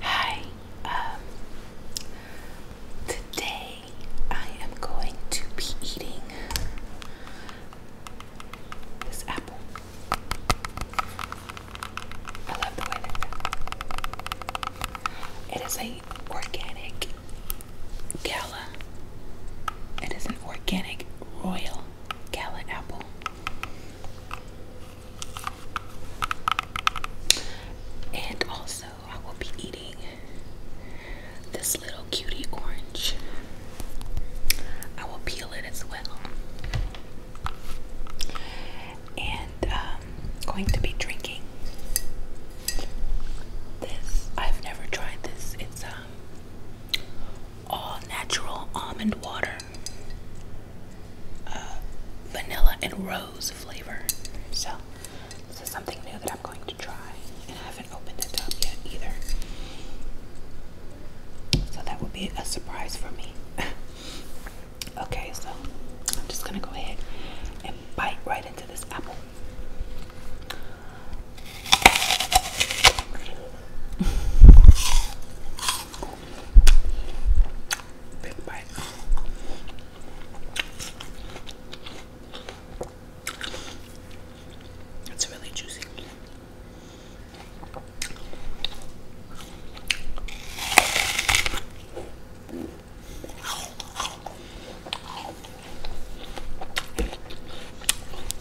Hi, um, today I am going to be eating this apple. I love the way that it is a organic gala. It is an organic royal Gala apple. And also, I will be eating this little cutie orange. I will peel it as well. And um, going to be drinking this. I've never tried this. It's um, all natural almond water. Uh, vanilla and rose flavor. So, this is something new that I'm going to try, and I haven't opened it up yet either. So, that would be a surprise for me. okay, so I'm just gonna go ahead and bite right into this apple. Big bite. It's really juicy.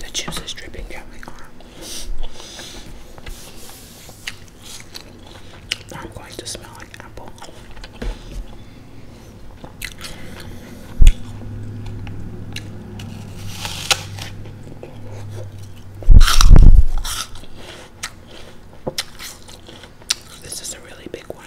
The juice is dripping down my arm. I'm going to smell like apple. This is a really big one.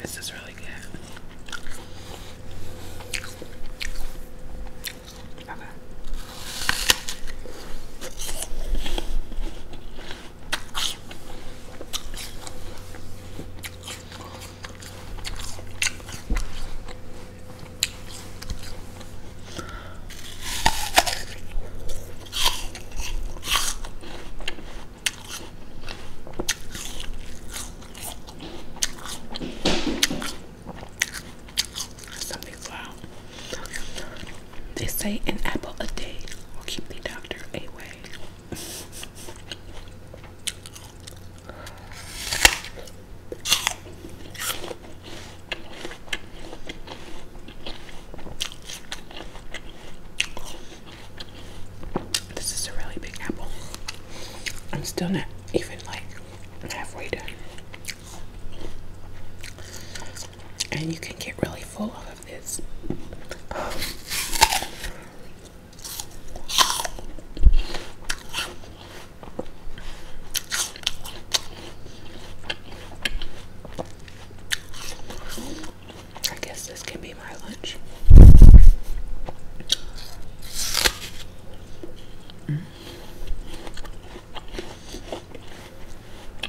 This is really good. Okay. They say an apple a day will keep the doctor away. This is a really big apple. I'm still not even like halfway done and you can get really full of this. I guess this can be my lunch.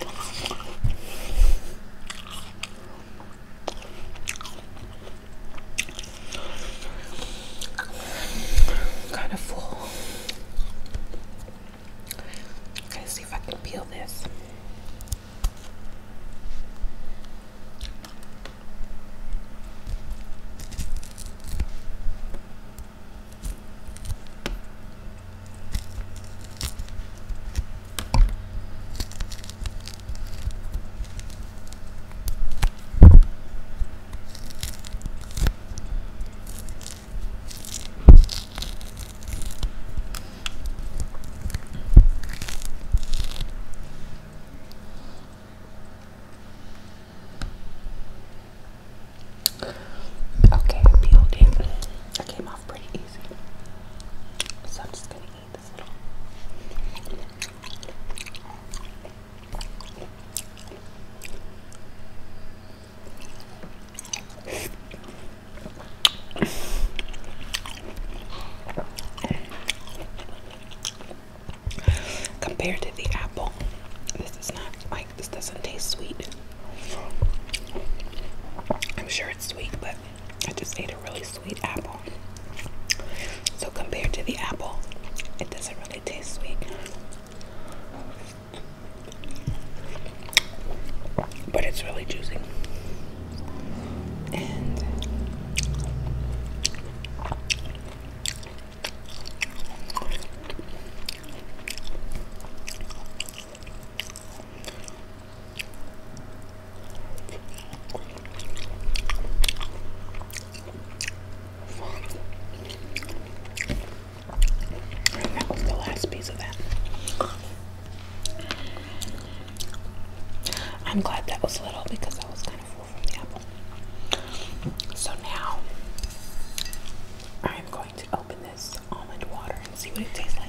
I'm kind of full. i gonna see if I can peel this. Okay, building. I came off pretty so I'm just gonna eat this little. Compared to the apple, this is not this doesn't taste sweet. I'm sure it's sweet, but I just ate a really sweet apple. So compared to the apple, it doesn't really taste sweet. But it's really juicy. And that was the last piece of that. I'm glad that was little because I was kind of full from the apple. So now I'm going to open almond water and see what it tastes like.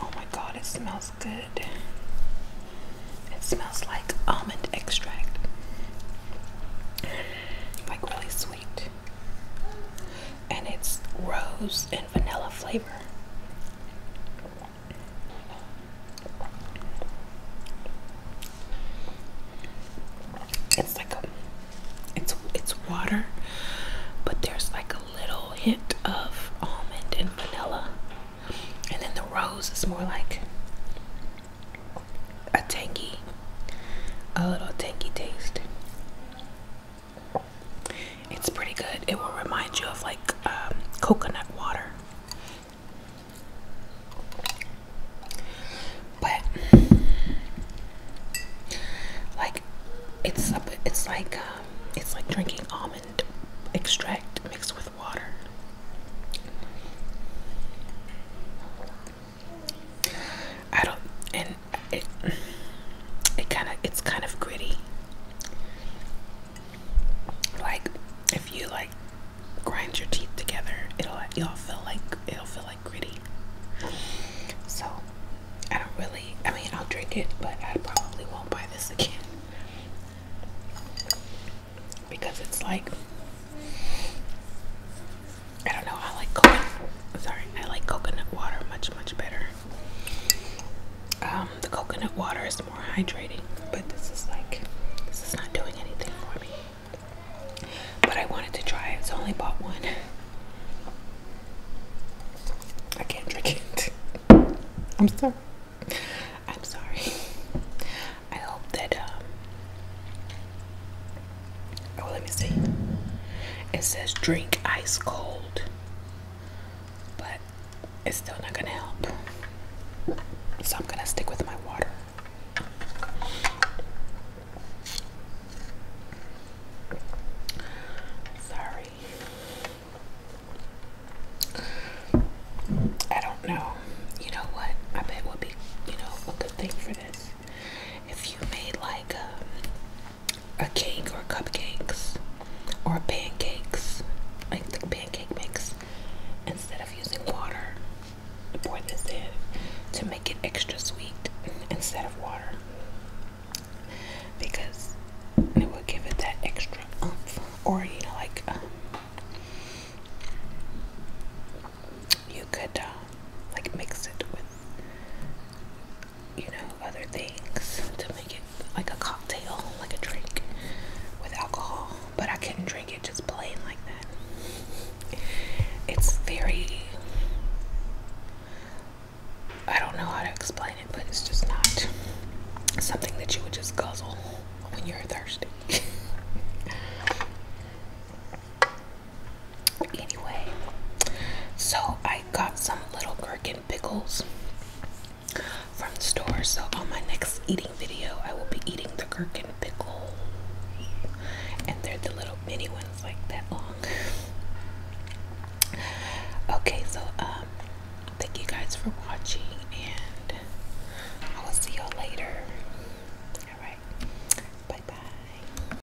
Oh my god, it smells good. It smells like almond extract. Like really sweet. And it's rose and vanilla flavor. It's like a, it's it's water, but there's like a little hint of almond and vanilla, and then the rose is more like a tangy, a little tangy taste. It's pretty good. It will remind you of like um, coconut water. But like it's it's like um, it's like drinking almond extract mixed with water. I don't and it it kind of it's kind of gritty. Like if you like grind your teeth together, it'll y'all feel like it'll feel like gritty. So I don't really. I mean, I'll drink it, but I probably won't buy this again because it's like I don't know. I like Sorry, I like coconut water much much better. Um, the coconut water is more hydrating, but this is like this is not doing anything for me. But I wanted to try it, so I only bought one. I can't drink it. I'm sorry. I'm sorry. I hope that um Oh, let me see. It says drink ice cold but it's still not gonna help. So I'm gonna stick with my water. Sorry. I don't know. You know what? I bet would be, you know, a good thing for this. If you made like um, a cake or cupcakes or pancakes, like the pancake mix, instead of using water, to pour this in to make it extra sweet instead of water because it will give it that extra umph. or you know like um, you could uh, like mix it with you know, other things to make it like a cocktail, like a drink with alcohol, but I couldn't drink it just plain like that. It's very, I don't know how to explain it, but it's just not something that you would just guzzle when you're thirsty. Anyway, so I got some little gherkin pickles from the store. So on my next eating video, I will be eating the gherkin pickle, and they're the little mini ones, like that long. Okay, so um, thank you guys for watching, and I will see y'all later. All right, bye bye.